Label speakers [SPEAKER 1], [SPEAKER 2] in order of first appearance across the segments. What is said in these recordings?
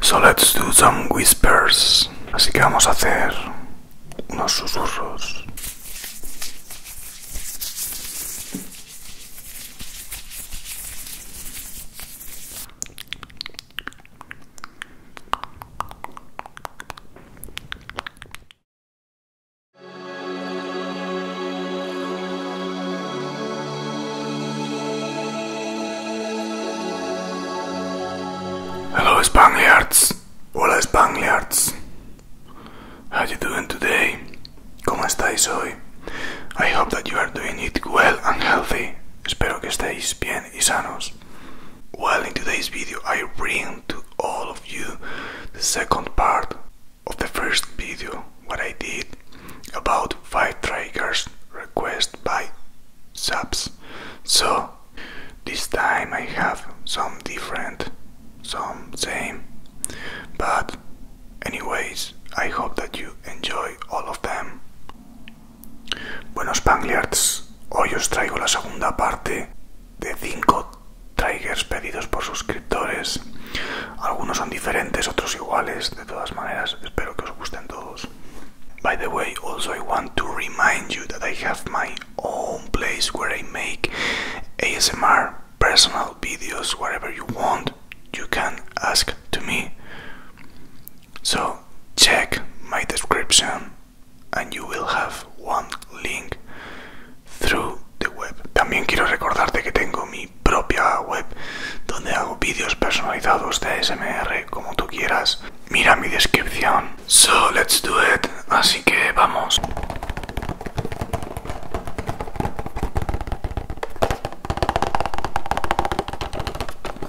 [SPEAKER 1] So let's do some whispers. Así que vamos a hacer unos susurros. Hello Spaniards! Hola Spaniards! How are you doing today? ¿Cómo estáis hoy? I hope that you are doing it well and healthy Espero que estéis bien y sanos. Well, in today's video, I bring to all of you the second part of the first video, what I did about 5 triggers requested by subs. So, this time I have some different, some same, but anyways, I hope that you enjoy all of them. Buenos Spangliards, hoy os traigo la segunda parte de cinco triggers pedidos por suscriptores. Algunos son diferentes, otros iguales. De todas maneras, espero que os gusten todos. By the way, also I want to remind you that I have my own place where I make ASMR personal videos, whatever you want, you can ask to me. So check my description and you will have one link through the web. También quiero recordarte que tengo mi propia web donde hago vídeos personalizados de SMR como tú quieras. Mira mi descripción. So let's do it. Así que vamos.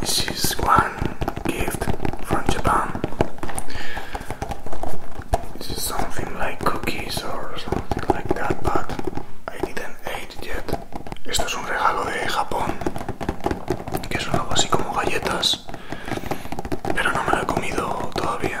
[SPEAKER 1] This is one gift from Japan. This is something like cookies or something like that, but I didn't eat yet. Esto es un regalo de Japón, que son algo así como galletas, pero no me lo he comido todavía.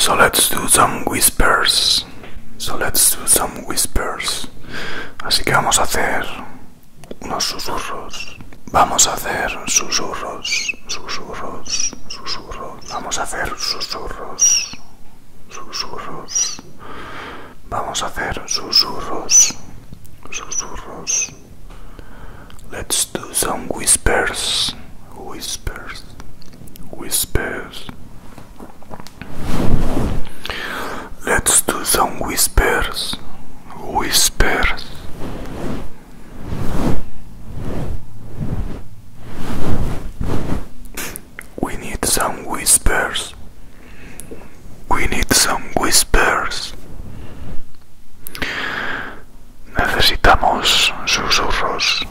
[SPEAKER 1] So let's do some whispers. So let's do some whispers. Así que vamos a hacer unos susurros. Vamos a hacer susurros, susurros, susurros. Vamos a hacer susurros, susurros. Vamos a hacer susurros, susurros. Let's do some whispers, whispers, whispers. Let's do some whispers. Whispers. We need some whispers. We need some whispers. Necesitamos susurros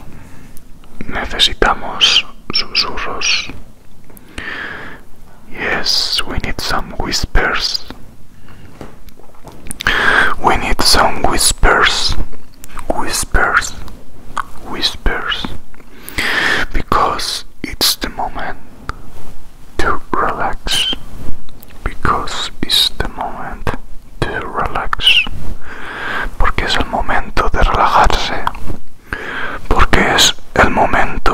[SPEAKER 1] we need some whispers. We need some whispers. Whispers. Whispers. Because it's the moment to relax. Because it's the moment to relax. Porque es el momento de relajarse. Because it's the moment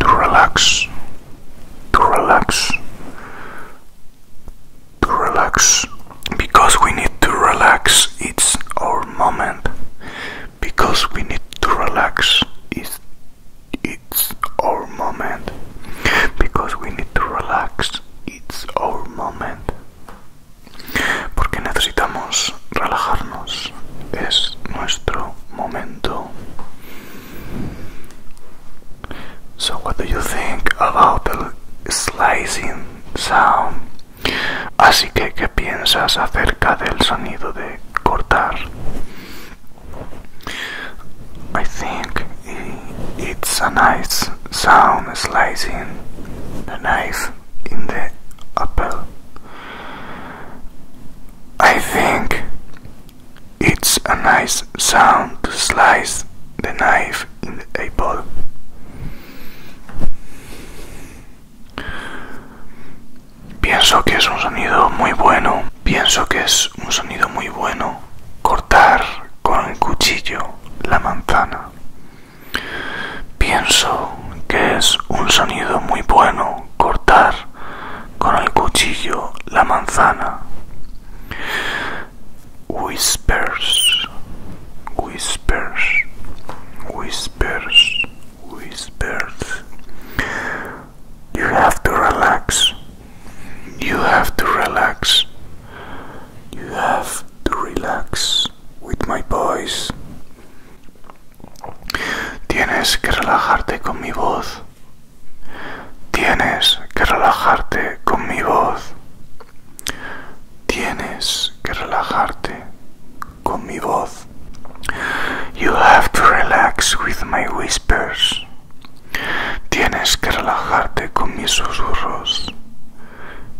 [SPEAKER 1] to relax, to relax, to relax. Because we need to relax, it's our moment. Because we need to relax, It's our moment. Because we need to relax. It's our moment. Porque necesitamos relajarnos. Es nuestro momento. So, what do you think about the slicing sound? Así que, ¿qué piensas acerca del sonido de cortar? I think it's a nice sound slicing the knife in the apple. I think it's a nice sound to slice the knife in the apple. Pienso que es un sonido muy bueno. Pienso que es un sonido muy bueno cortar con el cuchillo la manzana. Pienso que es un sonido muy bueno cortar con el cuchillo la manzana. Whispers, whispers, whispers, whispers. You have to relax. You have to relax. You have to relax with my voice. Tienes que relajarte con mi voz. Tienes que relajarte con mi voz. Tienes que relajarte con mi voz. You have to relax with my whispers. Tienes que relajarte con mis susurros.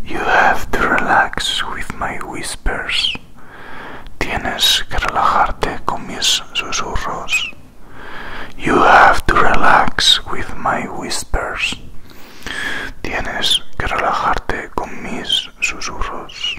[SPEAKER 1] You have to relax with my whispers. Tienes que relajarte con mis susurros. You have to relax with my whispers. Tienes que relajarte con mis susurros.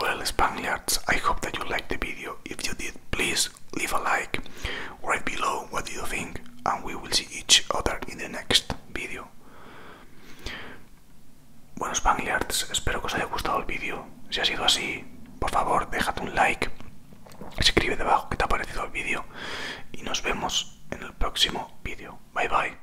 [SPEAKER 1] Well, Spaniards, I hope that you liked the video. If you did, please leave a like right below what you think, and we will see each other in the next. vídeo. Bueno, Spangliards, espero que os haya gustado el vídeo. Si ha sido así, por favor, déjate un like. Escribe debajo que te ha parecido el vídeo. Y nos vemos en el próximo vídeo. Bye bye.